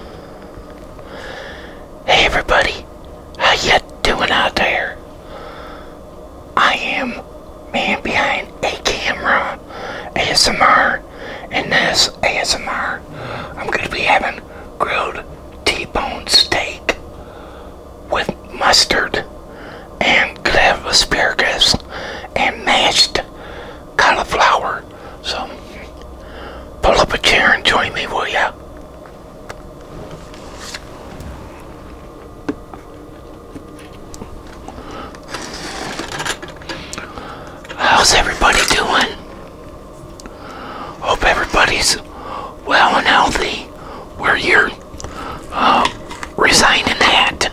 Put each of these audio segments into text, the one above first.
Hey everybody, how ya doing out there? I am man behind a camera ASMR and this ASMR I'm gonna be having grilled T-bone steak with mustard and could asparagus and mashed cauliflower so pull up a chair and join me, will ya? How's everybody doing? Hope everybody's well and healthy we are here, uh, resigning that.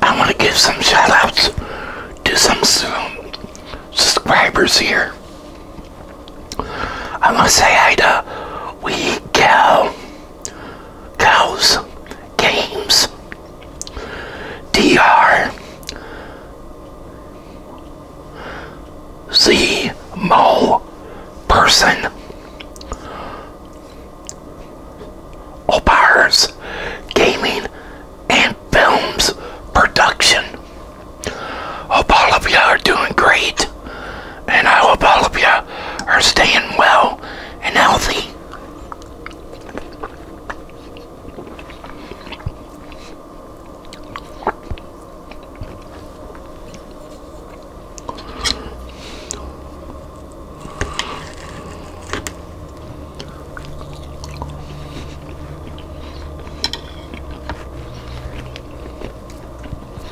I want to give some shout outs to some subscribers here. I want to say hi to Wee Gal cows, games, DR, Z Mo person, Opars Gaming and Films Production. Hope all of you are doing great and I hope all of you are staying well and healthy.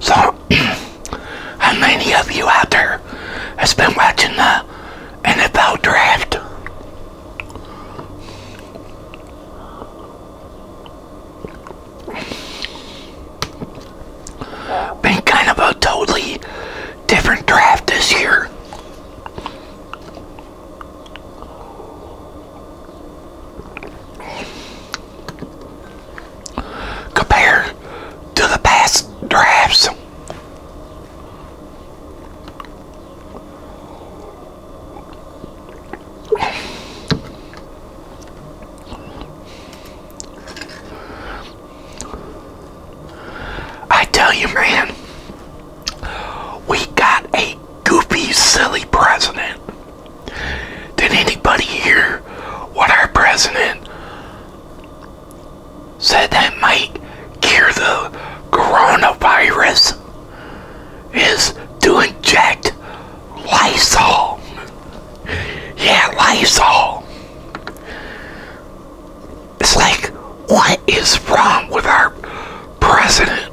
So, how many of you out there has been watching the NFL draft? Been kind of a totally different draft this year compared to the past drafts. I tell you, man, we got a goofy, silly president. Did anybody hear what our president said that might cure the coronavirus? Is to inject Lysol. Yeah, Lysol. It's like, what is wrong with our president?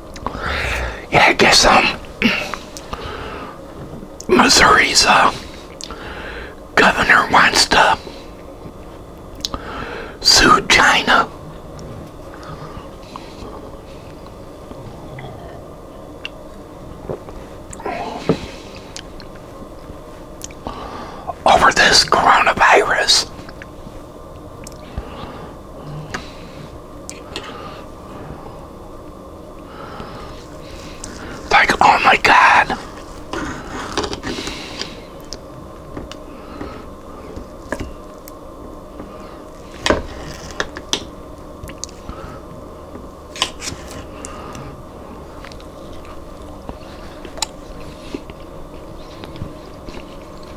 yeah, I guess um, Missouri's uh, governor wants to sue China. Over this coronavirus. Like, oh my god.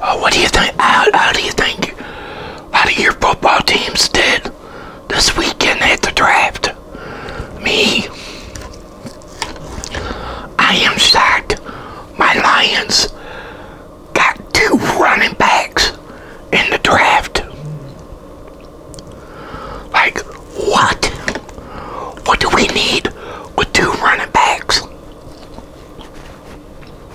Uh, what do you think? How, how do you think? How your football teams did this weekend at the draft? Me, I am shocked. My Lions got two running backs in the draft. Like what? What do we need with two running backs?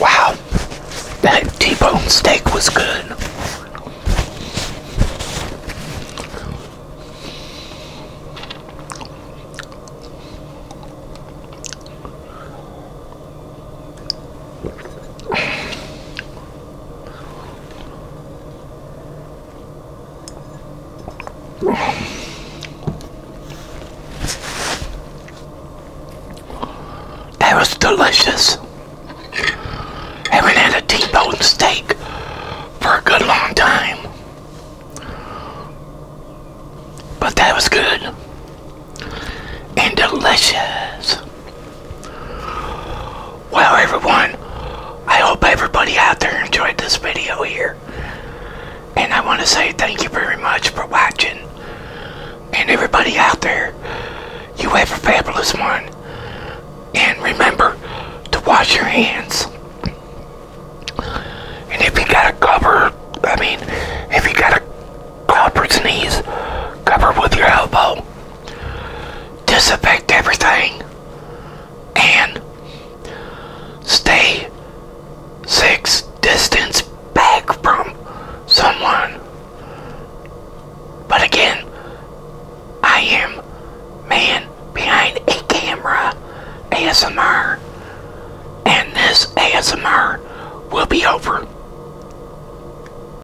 Wow, that T-bone steak was good. That was delicious. Haven't had a T-bone steak for a good long time. But that was good. And delicious. Well, everyone, I hope everybody out there enjoyed this video here. And I want to say thank you very much for watching. And everybody out there, you have a fabulous one. And remember to wash your hands. And if you got a cover, I mean, if you got a cover sneeze, cover with your elbow disinfect everything, and stay six distance back from someone. But again, I am man behind a camera ASMR, and this ASMR will be over.